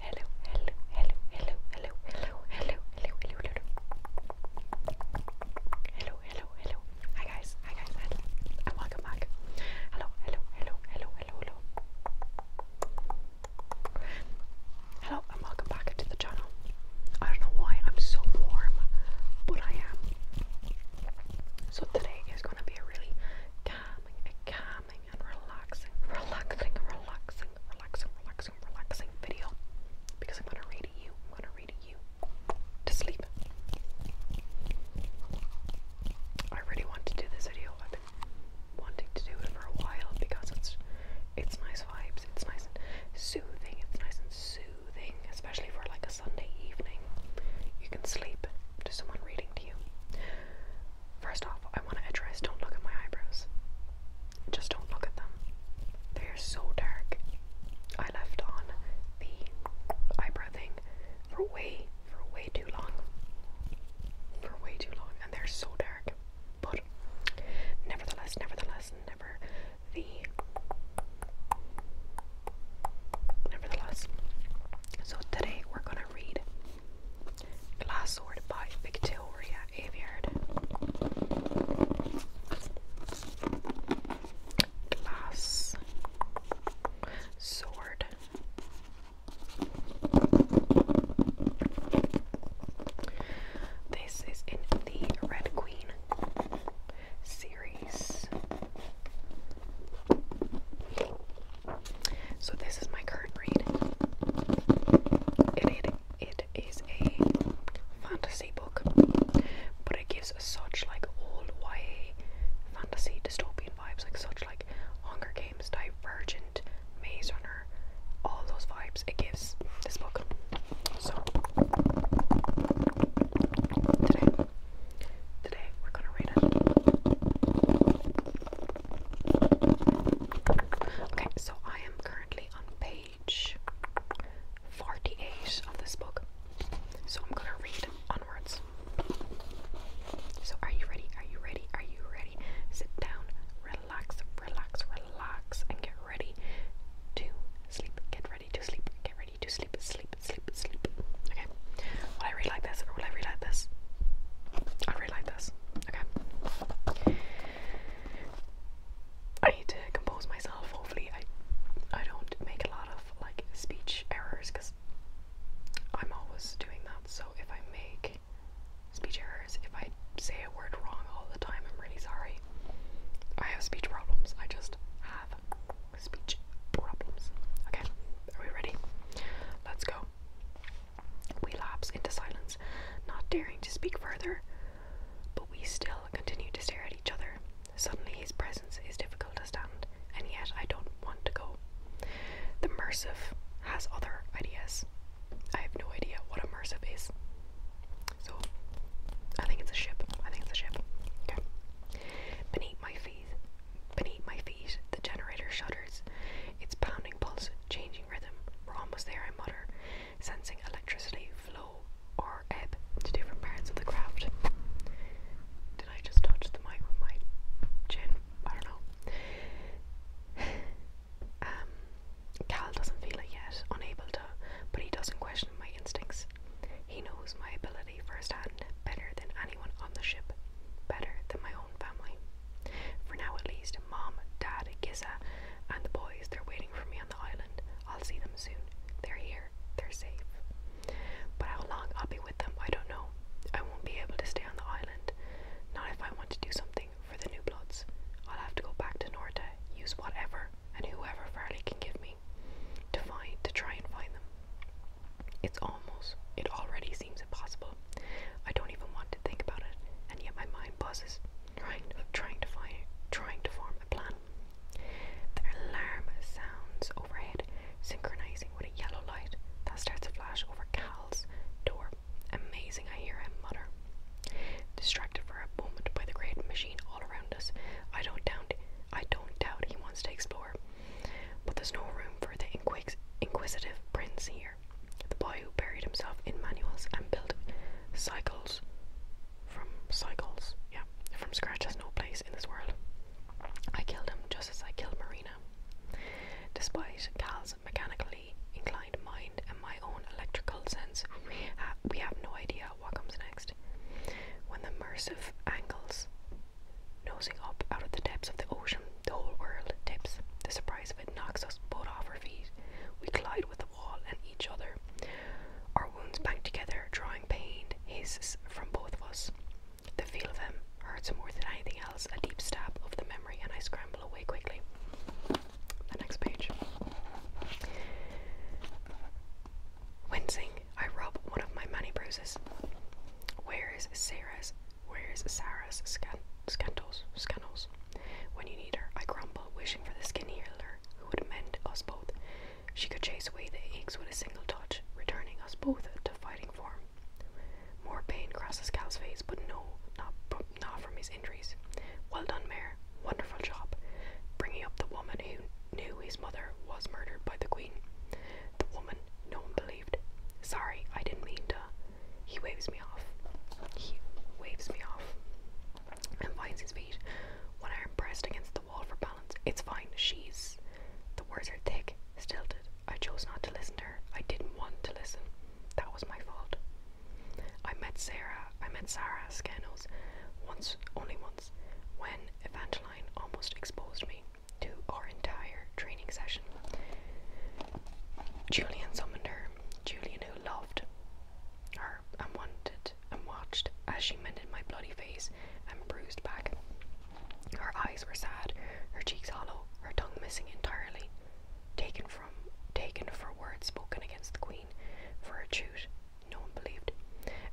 Hello, hello, hello, hello, hello, hello, hello, hello, hello, hello. Hello, hello, hello. Hi guys, hi guys, hello. and welcome back. Hello, hello, hello, hello, hello, hello. Hello and welcome back to the channel. I don't know why I'm so warm, but I am. So today is gonna be a really calming, a calming, relaxing and relaxing, relaxing, relaxing, relaxing, relaxing, relaxing video because I'm gonna read you, I'm gonna read you to sleep. I really want to do this video. I've been wanting to do it for a while because it's it's nice vibes, it's nice and soothing, it's nice and soothing, especially for like a Sunday evening. You can sleep to someone reading to you. First off, I want to address don't look at my eyebrows. Just don't look at them. They are so dark. I left on the eyebrow thing for way, for way too long. For way too long, and they're so dark. But nevertheless, nevertheless, never the nevertheless. So today we're gonna read Glassword by Victoria Aveyard. Glass sword. This is in the Red Queen series. So this is my current read. It, it, it is a fantasy book, but it gives such like old YA fantasy dystopian vibes, like such like Hunger Games, Divergent, Maze Runner, all those vibes it gives this book. So today, today we're gonna read it. Okay, so I am currently on page 48 of this book. So I'm gonna read onwards. So are you ready? Are you ready? Are you ready? Sit down, relax, relax, relax, and get ready to sleep. Get ready to sleep. Get ready to sleep. Sleep, sleep, sleep. Okay. Will I read like this will I read like this? like this. Okay. I need to compose myself. Hopefully, I I don't make a lot of like speech errors because I'm always doing that. So if I make speech errors, if I say a word wrong all the time, I'm really sorry. I have speech problems. I just have speech problems. Okay, are we ready? Let's go. We lapse into silence, not daring to speak further, but we still continue to stare at each other. Suddenly, his presence is difficult to stand, and yet I don't want to go. The immersive has other ideas. I have no idea what immersive is. So, I think it's a ship. I think it's a ship. Okay. Beneath my feet, beneath my feet, the generator shudders. Its pounding pulse changing rhythm. We're almost there, I mutter, sensing electricity flow or ebb to different parts of the craft. Did I just touch the mic with my chin? I don't know. Um, Cal doesn't feel it yet, unable to, but he doesn't question my instincts. He knows my ability firsthand better than anyone on the ship, better than my own family. For now, at least, Mom, Dad, Giza, and the boys, they're waiting for me on the island. I'll see them soon. They're here. They're safe. But how long I'll be with them, I don't know. I won't be able to stay on the island. Not if I want to do something for the new bloods. I'll have to go back to Norda, use whatever and whoever Farley can give me to find to try and find them. It's almost it already seems impossible. I don't even want to think about it, and yet my mind buzzes, trying, trying to find, trying to form a plan. The alarm sounds overhead, synchronizing with a yellow light that starts to flash over Cal's door. Amazing, I hear him mutter. Distracted for a moment by the great machine all around us, I don't doubt, I don't doubt he wants to explore, but there's no room for the inquisitive prince here. The boy who buried himself in manuals and built cycles from cycles, yeah, from scratch has no place in this world. I killed him just as I killed Marina. Despite Cal's mechanically inclined mind and my own electrical sense, we, we have no idea what comes next. When the immersive angles nosing up out of the depths of the ocean the whole world tips. The surprise of it knocks us both off our feet. We collide with the wall and each other. Our wounds bank together, drawing pain, hisses from both of us. The feel of him hurts more than anything else, a deep stab of the memory, and I scramble away quickly. The next page. Wincing, I rub one of my many bruises. Where is Sarah's Where's Sarah's scandals? Scandals. When you need her, I grumble, wishing for the skin healer who would mend us both. She could chase away the aches with a single touch, returning us both to fighting form. More pain crosses Cal's face, but no, not, not from his injuries. Well done, Mayor. Wonderful job. Bringing up the woman who knew his mother was murdered by the Queen. The woman no one believed. Sorry, I didn't mean to. He waves me off. He waves me off and finds his feet. One arm pressed against the wall for balance, it's fine. She's. The words are thick, stilted. I chose not to listen to her. I didn't want to listen. That was my fault. I met Sarah. I met Sarah Skanos once, only once, when Evangeline almost exposed me to our entire training session. Julian summoned her Julian, who loved her and wanted and watched as she mended my bloody face and bruised back. Her eyes were sad, her cheeks hollow, her tongue missing entirely, taken from taken for words spoken against the Queen, for a shoot no one believed.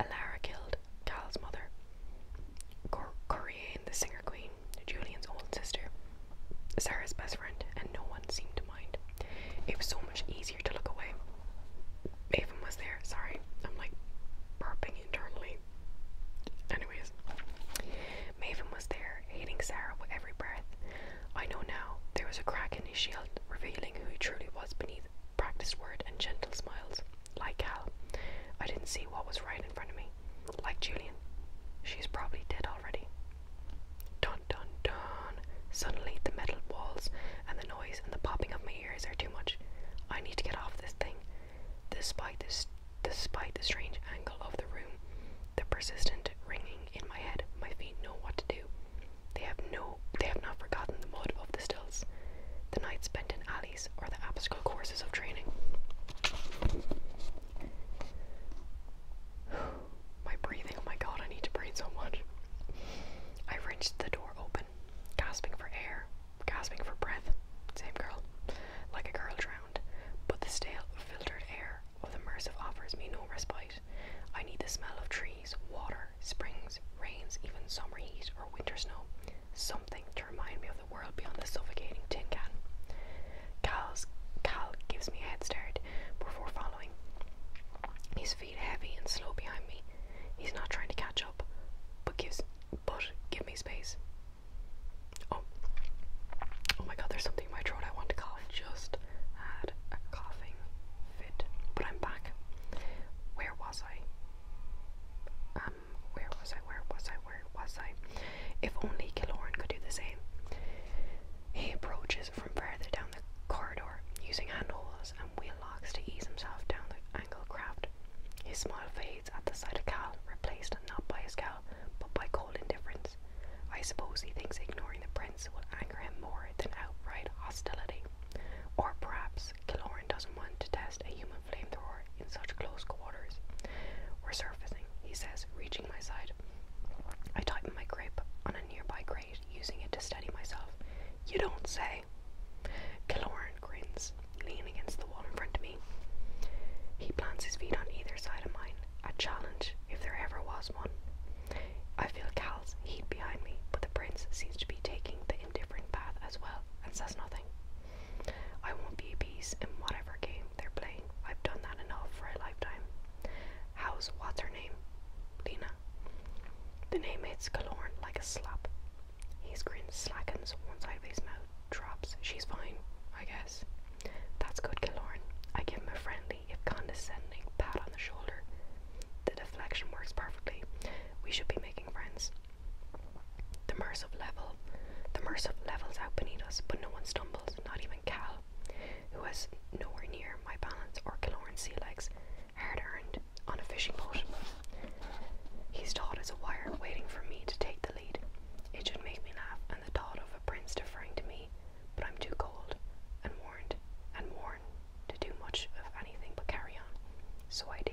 Alara killed Cal's mother. Cor the singer queen, Julian's old sister, Sarah's best friend, and no one seemed to mind. It was so much easier to look away. Maven was there. Sorry, I'm like burping internally. Anyways, Maven was there, hating Sarah with every breath. I know now. There was a crack in his shield, revealing who he truly was beneath practiced words and gentle smiles. Like Hal, I didn't see what was right in front of me. Like Julian, she's probably dead already. Dun dun dun. Suddenly, the metal walls and the noise and the popping of my ears are too much. I need to get off this thing. Despite this, despite the strange angle of the room, the persistent ringing in my head, my feet know what to do. They have no, they have not forgotten the mud of the stills, the night spent in alleys, or the obstacle courses of training. My breathing, oh my god, I need to breathe so much. I wrenched the door open, gasping for air, gasping for breath. Same girl, like a girl drowned. But the stale, filtered air of the immersive offers me no respite. I need the smell of trees, water, springs, rains, even summer heat or winter snow. Something to remind me of the world beyond the suffocating tin can. Kyle's, Kyle gives me a head start before following. His feet heavy and slow behind me. He's not trying to catch up, but gives but give me space. Oh, oh my God! There's something in my throat. I want to cough. Just had a coughing fit, but I'm back. Where was I? Um, where was I? Where was I? Where was I? If only Killoran could do the same. He approaches from further down the corridor, using handholds and wheel locks to ease himself down the angled craft. His smile fades at the sight of Cal, replaced not by his scowl but by cold indifference. I suppose he thinks ignoring the prince will anger him more than outright hostility. Or perhaps Killoran doesn't want to test a human flamethrower in such close quarters. we he says, reaching my side. I tightened my grip on a nearby grate, using it to steady myself. You don't say. Killoran grins, leaning against the wall in front of me. He plants his feet on either side of mine, a challenge if there ever was one. I feel Cal's heat behind me, but the prince seems to be taking the indifferent path as well and says nothing. I won't be a piece in whatever game they're playing. I've done that enough for a lifetime. How's what's her name? Lena. The name hits Galorn like a slap. His grin slackens, one side of his mouth drops. She's fine, I guess. That's good, Galorn. I give him a friendly, if condescending, pat on the shoulder. The deflection works perfectly. We should be making friends. The Merciv level. The Merciv levels out beneath us, but no one stumbles, not even Cal who has nowhere near my balance or Killoran's sea legs, hard earned on a fishing boat. He's taut as a wire, waiting for me to take the lead. It should make me laugh, and the thought of a prince deferring to me, but I'm too cold and warned and worn to do much of anything but carry on. So I do.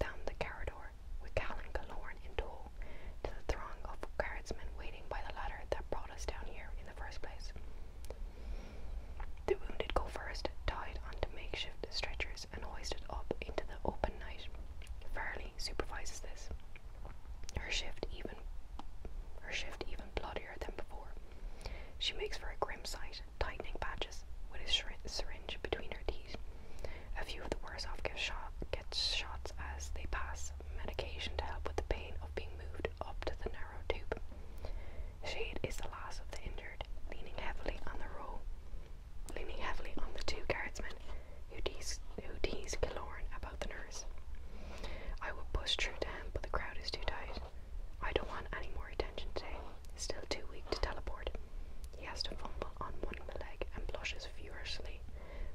Down the corridor with Cal and in tow to the throng of guardsmen waiting by the ladder that brought us down here in the first place. The wounded go first, tied onto makeshift stretchers and hoisted up into the open night. Fairly supervises this. Her shift even her shift even bloodier than before. She makes for a grim sight, tightening patches with a syringe between her teeth. A few of the worse off get, get shots as they pass, medication to help with the pain of being moved up to the narrow tube. Shade is the last of the injured, leaning heavily on the row, leaning heavily on the two guardsmen who tease, who tease Killorn about the nurse. I will push through down, but the crowd is too tight. I don't want any more attention today. Still too weak to teleport. He has to fumble on one of the legs and blushes furiously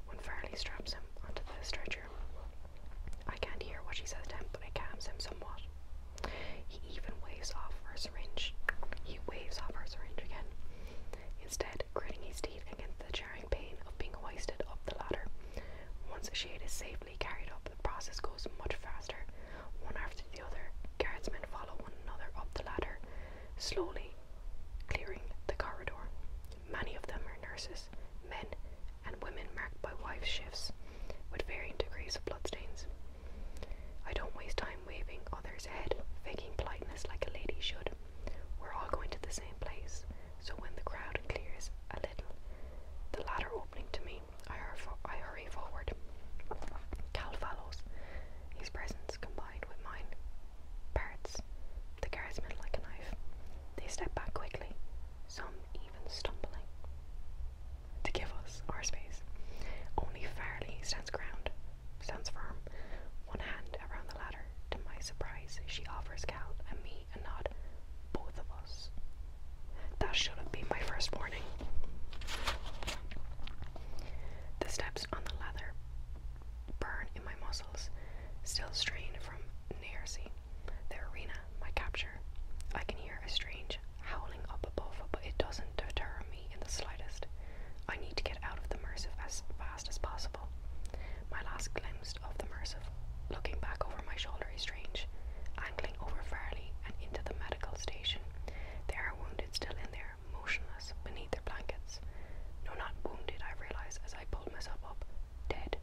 when Farley straps him onto the stretcher. I can't hear what she says to him, but it calms him somewhat. He even waves off her syringe. He waves off her syringe again. Instead, gritting his teeth against the jarring pain of being hoisted up the ladder. Once Shade is safely carried up, the process goes much faster. One after the other, guardsmen follow one another up the ladder, slowly clearing the corridor. Many of them are nurses, men, and women marked by wife shifts with varying degrees of bloodstains. I don't waste time waving others ahead, faking politeness like a lady should. We're all going to the same place, so when the crowd clears a little, the ladder opening to me, I, hurry forward. Cal follows, his presence combined with mine Parrots. The guards meant like a knife. They step back quickly, some even stumbling. To give us our space. Only Fairly stands ground, stands firm, one hand around the ladder. To my surprise, she offers Cal and me a nod. Both of us. That should have been my first warning. The steps on the ladder burn in my muscles, still strain from Nairsi, the arena, my capture. I can hear a strange howling up above, but it doesn't deter me in the slightest. I need to get out of the merciful as fast as possible. My last glimpse of the merciful, looking back over my shoulder, is strange. Angling over Farley and into the medical station, there are wounded still in there, motionless beneath their blankets. No, not wounded, I realize as I pull myself up, dead.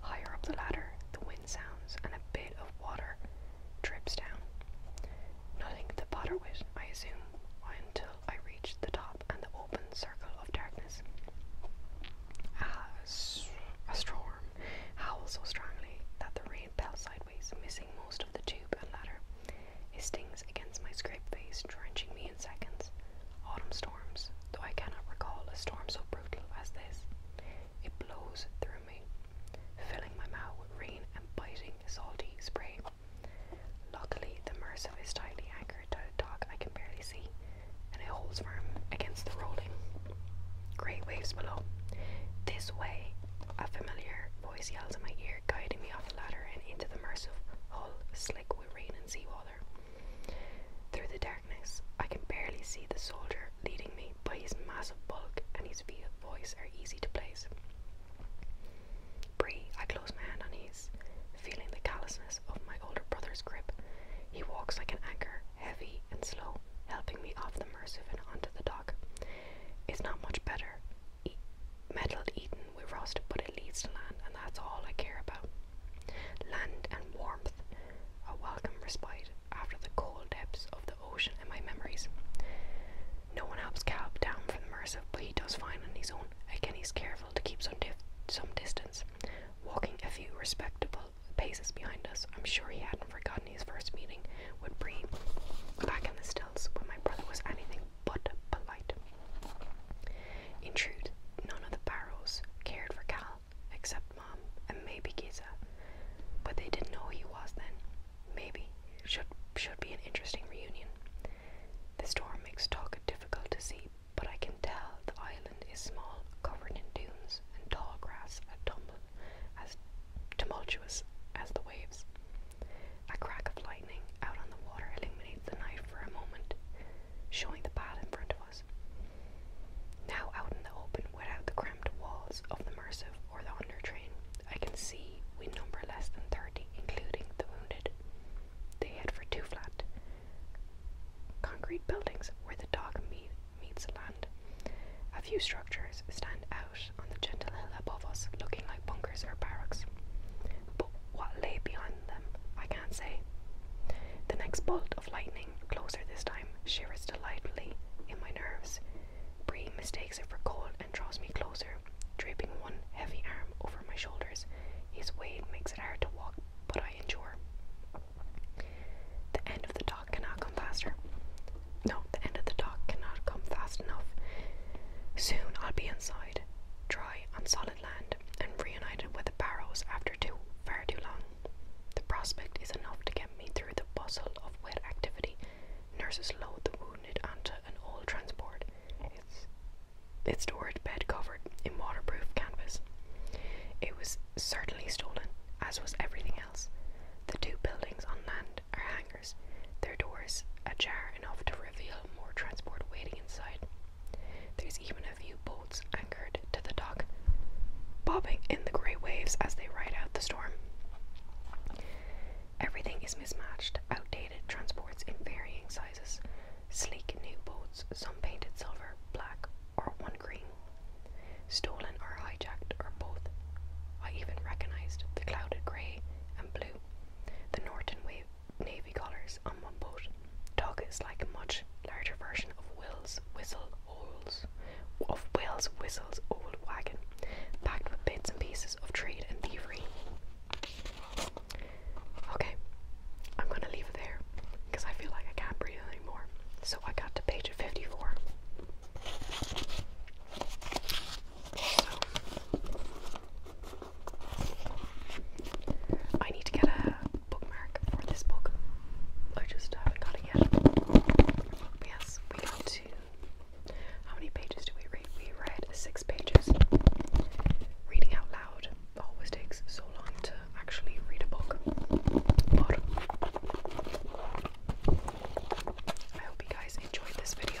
Higher up the ladder, the wind sounds and a bit of water drips down. Nothing to bother with, I assume, until I reach the top and the open circle of darkness. Ah, a storm howls so strongly that the rain fell sideways, missing most of the tube and ladder. It stings against my scraped face, drenching me only in seconds. Autumn storms, though I cannot recall a storm so brutal as this. It blows through me, filling my mouth with rain and biting salty spray. Luckily, the Merciv is tightly anchored to a dock I can barely see, and it holds firm against the rolling. Great waves below. This way, a familiar voice yells in my ear, guiding me off the ladder and into the Merciv hull, slick with rain and seawater. Through the darkness, I can barely see the soldier leading me, but his massive bulk and his voice are easy to place. Bree, I close my hand on his, feeling the callousness of my older brother's grip. He walks like an anchor, heavy and slow, helping me off the Mersive and onto the dock. It's not much better. metal eaten with rust, but it leads to land, and that's all I care about. Land and warmth, a welcome respite after the cold depths of the ocean in my memories. No one helps Calb down from the Mercer, but he does fine on his own. Again, he's careful to keep some, some distance, walking a few respectable paces behind us. I'm sure he hadn't forgotten his first meeting with Bree back in the stills when my brother was anything but polite. In truth, none of the Barrows cared for Cal except Mom and maybe Giza, but they didn't know who he was then. Maybe should should be an interesting reunion. The storm makes Talca difficult to see, but I can tell the island is small, covered in dunes and tall grass that tumble as tumultuous as the waves. A crack of lightning out on the water illuminates the night for a moment, showing the path in front of us. Now out in the open, without the cramped walls of the Mersive or the Undertrain, I can see we number less than 30, including the wounded. They head for two flat concrete buildings where the dock meet, meets land. A few structures stand out on the gentle hill above us, looking like bunkers or barracks. But what lay beyond I can't say. The next bolt of lightning, closer this time, shivers delightfully in my nerves. Bree mistakes it for cold and draws me closer, draping one heavy arm over my shoulders. His weight makes it hard to walk, but I endure. The end of the dock cannot come faster. No, the end of the dock cannot come fast enough. Soon I'll be inside, dry on solid land, and reunited with the barrels after too far too long. The prospect is enough to get me through the bustle of wet activity. Nurses load the wounded onto an old transport. It's its storage bed covered in waterproof canvas. It was certainly stolen, as was everything else. The two buildings on land are hangars, their doors ajar enough to reveal more transport waiting inside. There's even a few boats anchored to the dock, bobbing in the grey waves as they ride out the storm. Everything is mismatched, outdated transports in varying sizes, sleek new boats, some painted silver, black, or one green, stolen or hijacked, or both. I even recognized the clouded grey and blue, the Norton wave navy colours on one boat. Dog is like a much larger version of Will's whistle of Will's whistle's old wagon, packed with bits and pieces of trade and thievery. Okay, I'm gonna leave it there because I feel like I can't breathe anymore. So I got to page 54. I need to get a bookmark for this book. I just haven't got it yet. yes, we got to. How many pages do we read? We read six pages. Reading out loud always takes so long to actually read a book. I hope you guys enjoyed this video.